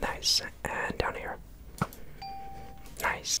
Nice, and down here. Nice.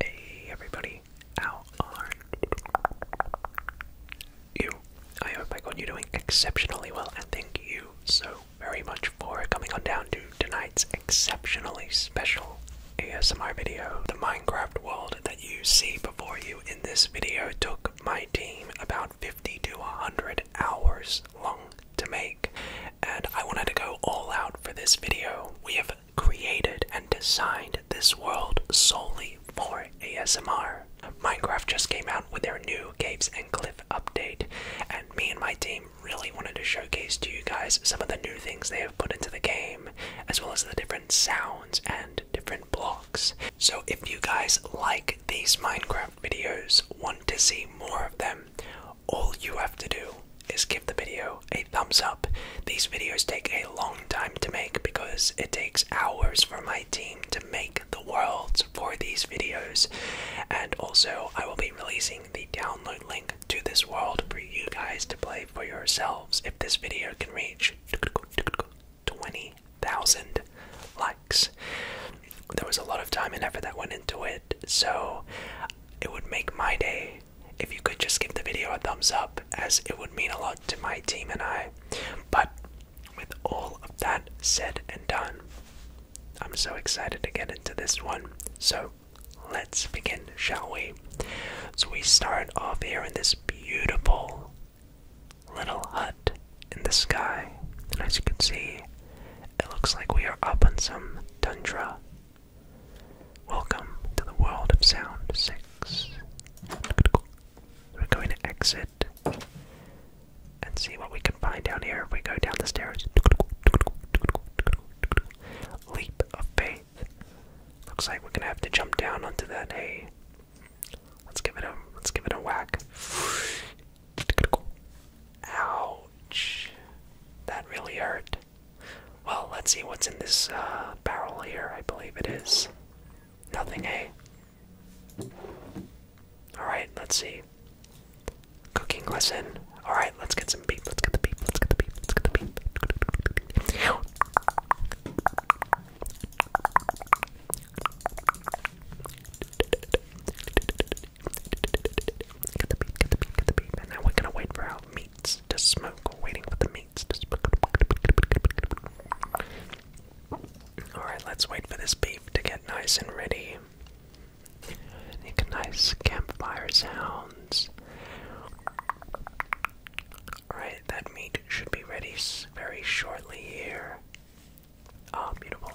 Hey everybody, how are you? I hope I got you doing exceptionally well and thank you so very much for coming on down to tonight's exceptionally special ASMR video. The Minecraft world that you see before you in this video took my team about 50 to 100 hours long to make, and I wanted to go all out for this video. We have created and designed this world solely for ASMR. Minecraft just came out with their new Caves and Cliff update, and me and my team really wanted to showcase to you guys some of the new things they have put into the game, as well as the different sounds and different blocks. So if you guys like these Minecraft videos, want to see more of them, all you have to do is give the video a thumbs up. These videos take a long time to make because it takes hours for my team to make the worlds for these videos. And also, I will be releasing the download link to this world for you guys to play for yourselves if this video can reach 20,000 likes. There was a lot of time and effort that went into it, so it would make my day if you could just give the video a thumbs up, as it would mean a lot to my team and I. But with all of that said and done, I'm so excited to get into this one. So let's begin, shall we? So we start off here in this beautiful little hut in the sky. And as you can see, it looks like we are up on some tundra. Welcome to the world of Sound 6. We're going to exit and see what we can find down here if we go down the stairs. Leap of faith. Looks like we're gonna have to jump down onto that hay Let's give it a let's give it a whack. Ouch. That really hurt. Well, let's see what's in this uh, barrel here. I believe it is nothing, eh? All right, let's see. Cooking lesson. All right, let's get some beef. Let's get the beef. Let's get the beef. Let's get the beef. Let's get the beef. Get the beep, get the beep, get the beep. And now we're gonna wait for our meats to smoke. waiting for the meats to smoke. Alright, let's wait for this beef to get nice and ready. Make nice campfire sounds. Alright that meat should be ready very shortly here. Ah, beautiful.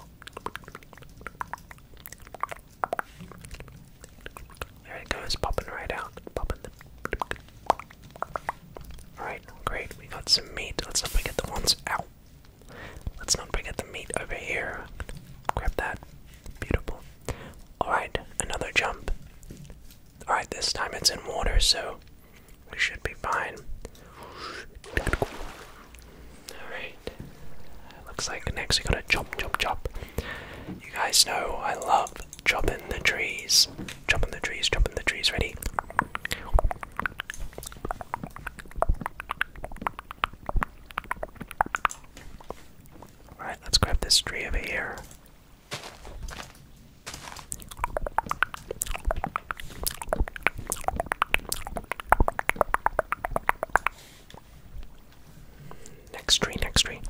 There it goes, popping right out. Alright, great. We got some meat. Let's not forget the ones out. Let's not forget the meat over here. Grab that. Beautiful. Alright, another jump. Alright, this time it's in water, so we should be fine. Alright. Looks like next we gotta chop, chop, chop. You guys know I love chopping the trees. Chopping the trees, chopping the trees. Ready? Alright, let's grab this tree over here. Next tree, next tree.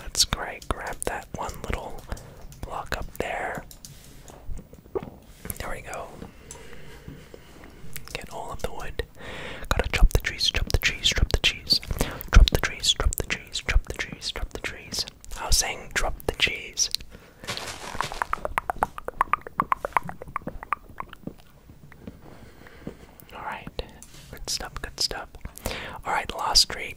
Let's great grab that one little block up there. There we go. Get all of the wood it. Gotta chop the trees, chop the trees, chop the cheese. Drop the trees, drop the trees, drop the trees, drop the trees. I was saying drop the cheese. Alright, good stuff, good stuff. Alright, last tree.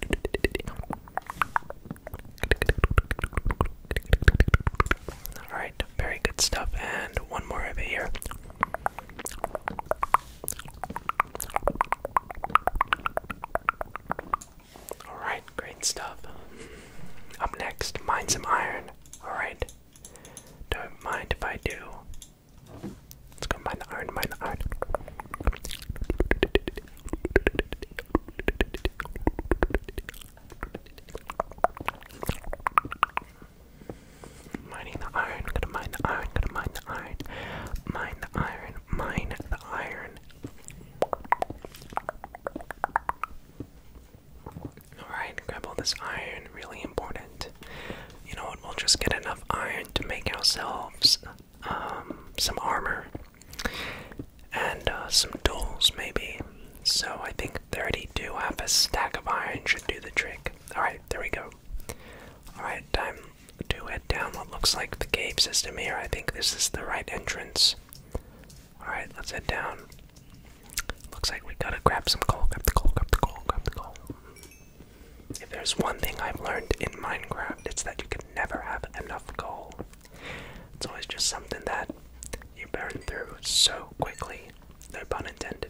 Alright, very good stuff. And one more over here. Alright, great stuff. Up next, mine some iron. Alright. Don't mind if I do. Let's go mine the iron, mine the iron. Mining the iron, gonna mine the iron, gonna mine the iron, mine the iron, mine the iron. Alright, grab all this iron, really important. You know what, we'll just get enough iron to make ourselves um, some armor and uh, some tools, maybe. So I think 32, half a stack of iron should do the trick. Alright, there we go through. Alright, time to head down what looks like the cave system here. I think this is the right entrance. Alright, let's head down. Looks like we gotta grab some coal, grab the coal, grab the coal, grab the coal. If there's one thing I've learned in Minecraft, it's that you can never have enough coal. It's always just something that you burn through so quickly, no pun intended.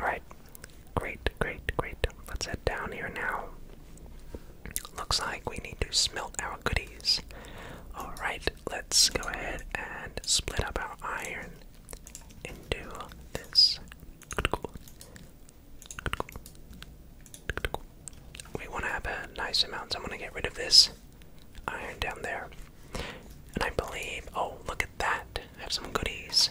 Alright, great, great, great. Let's head down here now. Looks like we need to smelt our goodies. Alright, let's go ahead and split up our iron into this. We want to have a nice amount, so I'm going to get rid of this iron down there. And I believe, oh, look at that. I have some goodies.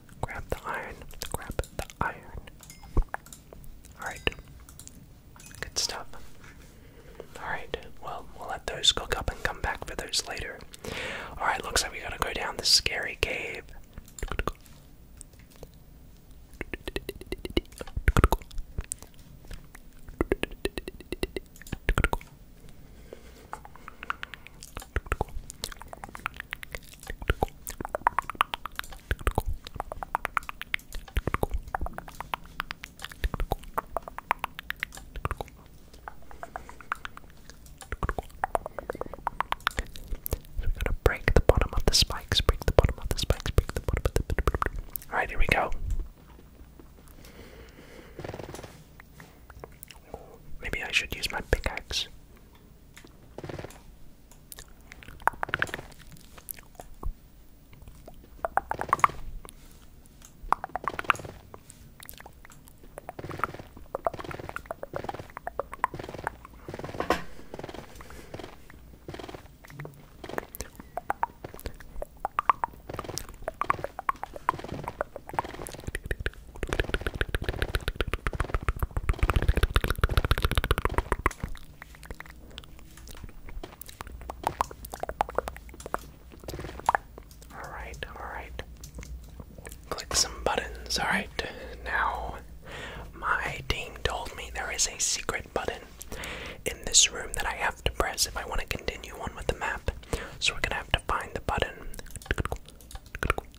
Grab the iron. Grab the iron. Alright. Good stuff. Alright, well, we'll let those cook up and come back for those later. Alright, looks like we gotta go down this scary cave. So we gonna break the bottom of the spikes, break the bottom of the spikes, break the bottom of the Alright, here we go. Maybe I should use my pickaxe. All right, all right. Click some buttons. All right, now my team told me there is a secret button in this room that I have to press if I want to continue on with the map. So we're gonna have to find the button.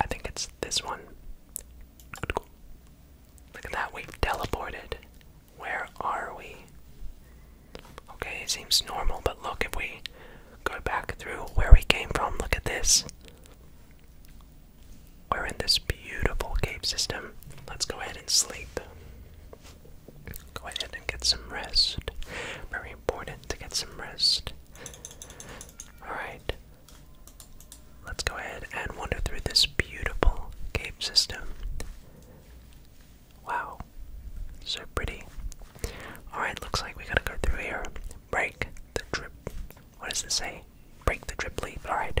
I think it's this one. Look at that, we've teleported. Where are we? Okay, it seems normal, but look, if we go back through where we came from, look at this. We're in this beautiful cave system. Let's go ahead and sleep. Go ahead and get some rest. Very important to get some rest. Alright. Let's go ahead and wander through this beautiful cave system. Wow. So pretty. Alright, looks like we gotta go through here. Break the drip. What does it say? Break the drip leaf. Alright.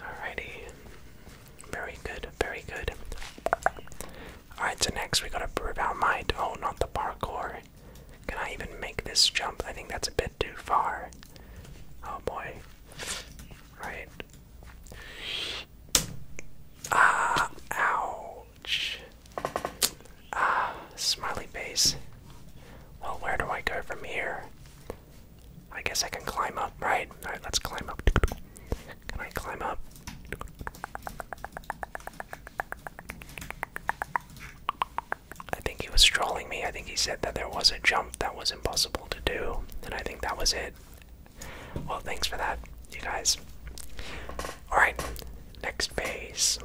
Alrighty. Very good, very good. Alright, so next we gotta prove our might. Oh, not the parkour. Can I even make this jump? I think that's a bit too far. Oh boy. Right. Ah, ow. Ah, smiley base. Well, where do I go from here? I guess I can climb up, right? Alright, let's climb up. Can I climb up? I think he was trolling me. I think he said that there was a jump that was impossible to do, and I think that was it. Well, thanks for that, you guys. Alright, next base.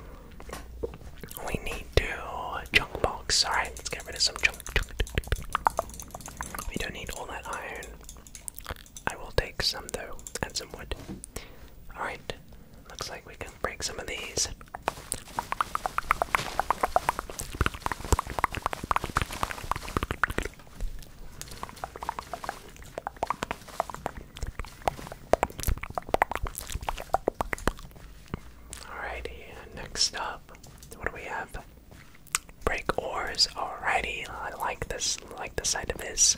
We need to junk box. Alright, let's get rid of some junk. We don't need all that iron. I will take some though, and some wood. Alright, looks like we can break some of these. Alrighty, next up, what do we have? Break oars. Alrighty, I like this. like the side of this.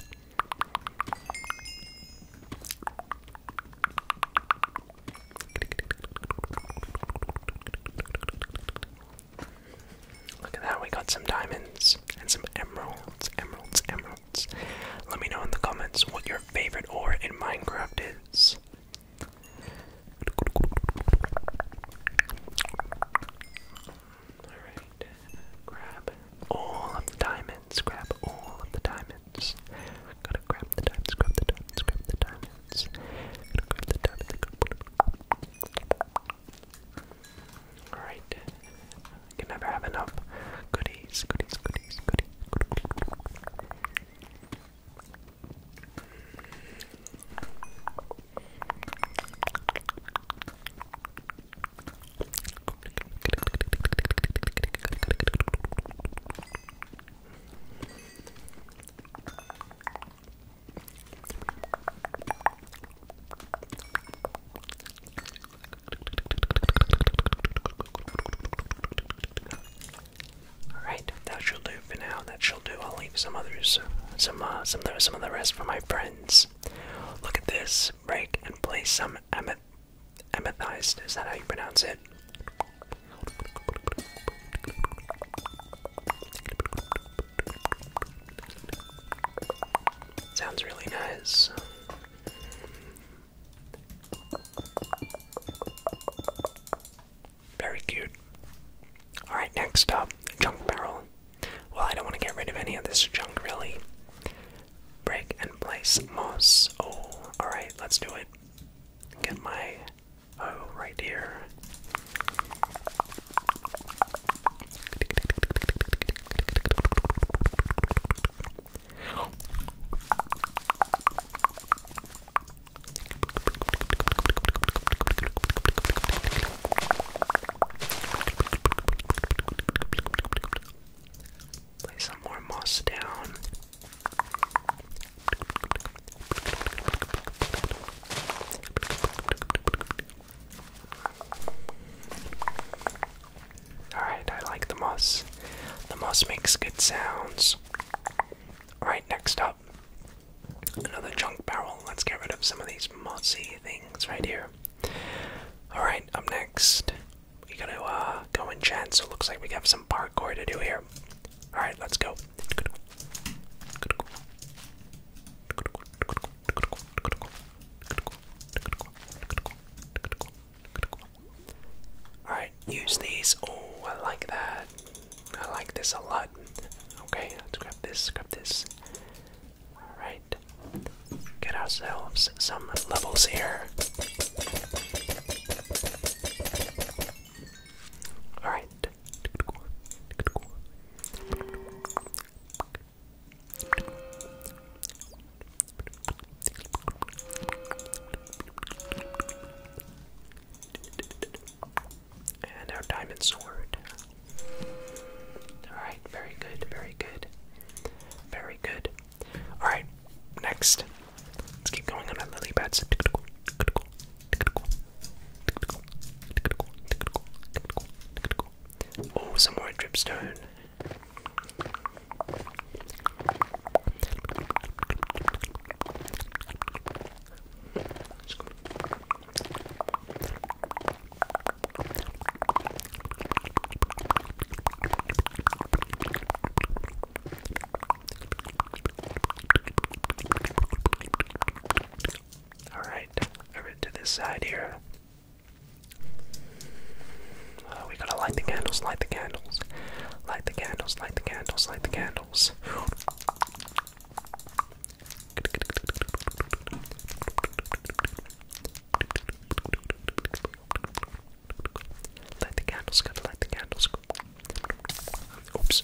Look at that, we got some diamonds and some emeralds, emeralds, emeralds. Let me know in the comments what your favorite ore in Minecraft is. Alright, grab all of the diamonds, grab all of the diamonds. Gotta grab the diamonds, grab the diamonds, grab the diamonds. Gotta grab the diamonds. Alright, you never have enough goodies, goodies, goodies, goodies. Alright, that shall do for now. That shall do. I'll leave some others, some, uh, some, of the, rest for my friends. Look at this. Break and play some ameth amethized. Is that how you pronounce it? Sounds really nice. Very cute. Alright, next up, junk barrel. Well, I don't want to get rid of any of this junk, really. Break and place moss. Oh, alright, let's do it. Get my oh right here. Lay some more moss down. Alright, I like the moss. The moss makes good sounds. Alright, next up. Another junk barrel. Let's get rid of some of these mossy things right here. Alright, up next. We gotta uh, go and chat, so it looks like we have some parkour to do here. Alright, let's go. Alright, use these. Oh, I like that. I like this a lot. Okay, let's grab this, grab this. Alright. Get ourselves some levels here. Alright. And our diamond sword. Alright, very good, very good. Very good. Alright, next. Let's keep going on our lily pads. Oh, some more dripstone. All right, over to this side here. Uh, we gotta light the candles, light the candles, light the candles, light the candles, light the candles. Light the candles, gotta light the candles. Oops.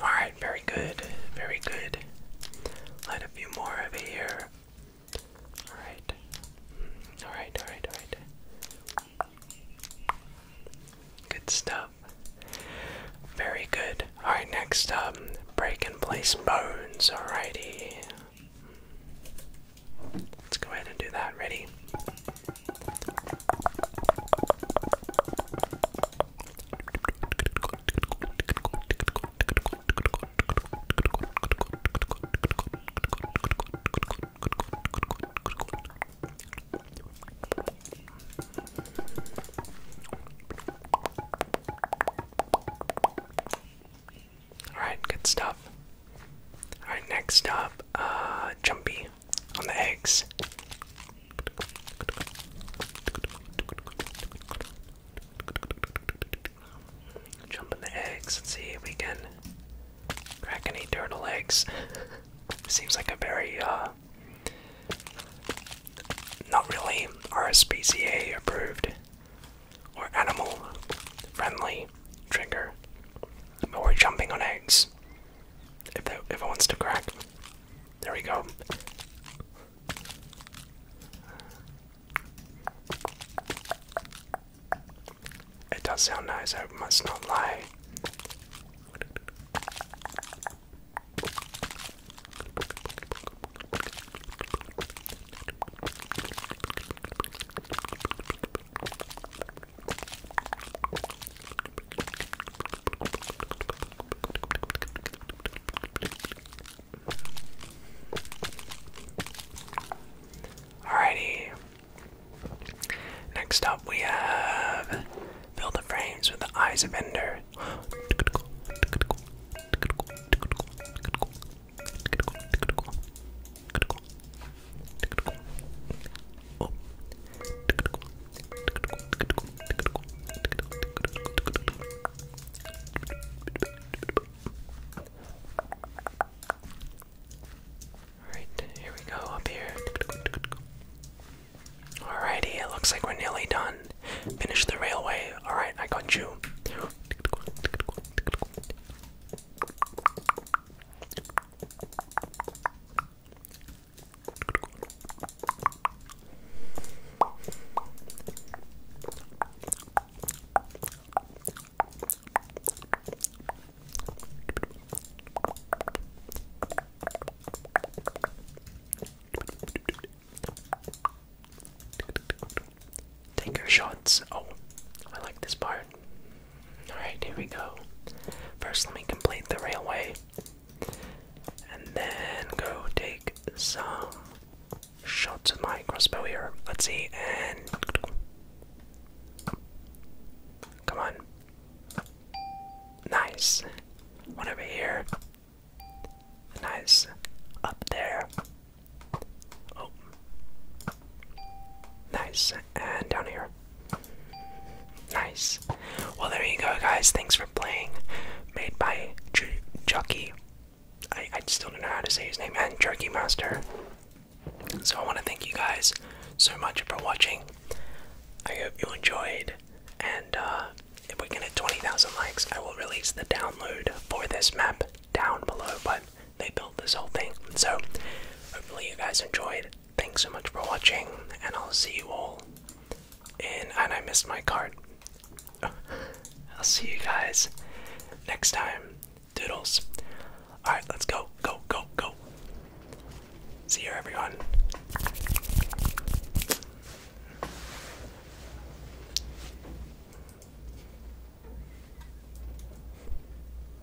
Alright, very good, very good. Let a few more over here. Alright. Alright, alright, alright. Good stuff. Very good. Alright, next um break and place bones, alrighty. Let's go ahead and do that. Ready? All right, good stuff. All right, next up, uh, Jumpy on the eggs. Jump in the eggs and see if we can crack any turtle eggs. Seems like a very, uh, not really RSPCA approved or animal friendly trigger. But we're jumping on eggs. If that if wants to crack. There we go. It does sound nice, I must not lie. Alrighty. Next up, we have Build the Frames with the Eyes of Ender. Alright, here we go up here. Alrighty, it looks like we're nearly done. Finish the railway. Alright, I got you. Take your shots. Oh, I like this part. Alright, here we go. First, let me complete the railway. And then go take some shots with my crossbow here. Let's see, and. Come on. Nice. One over here. Nice. Up there. Oh. Nice. And down here. Nice. Well, there you go, guys. Thanks for playing. Made by J Chucky. I, I still don't know how to say his name, and Jerky Master. So I want to thank you guys so much for watching. I hope you enjoyed, and uh, if we can hit 20,000 likes, I will release the download for this map down below, but they built this whole thing. So hopefully you guys enjoyed. Thanks so much for watching, and I'll see you all And I missed my card. I'll see you guys next time. Doodles. Alright, let's go. Go, go, go. See you, everyone.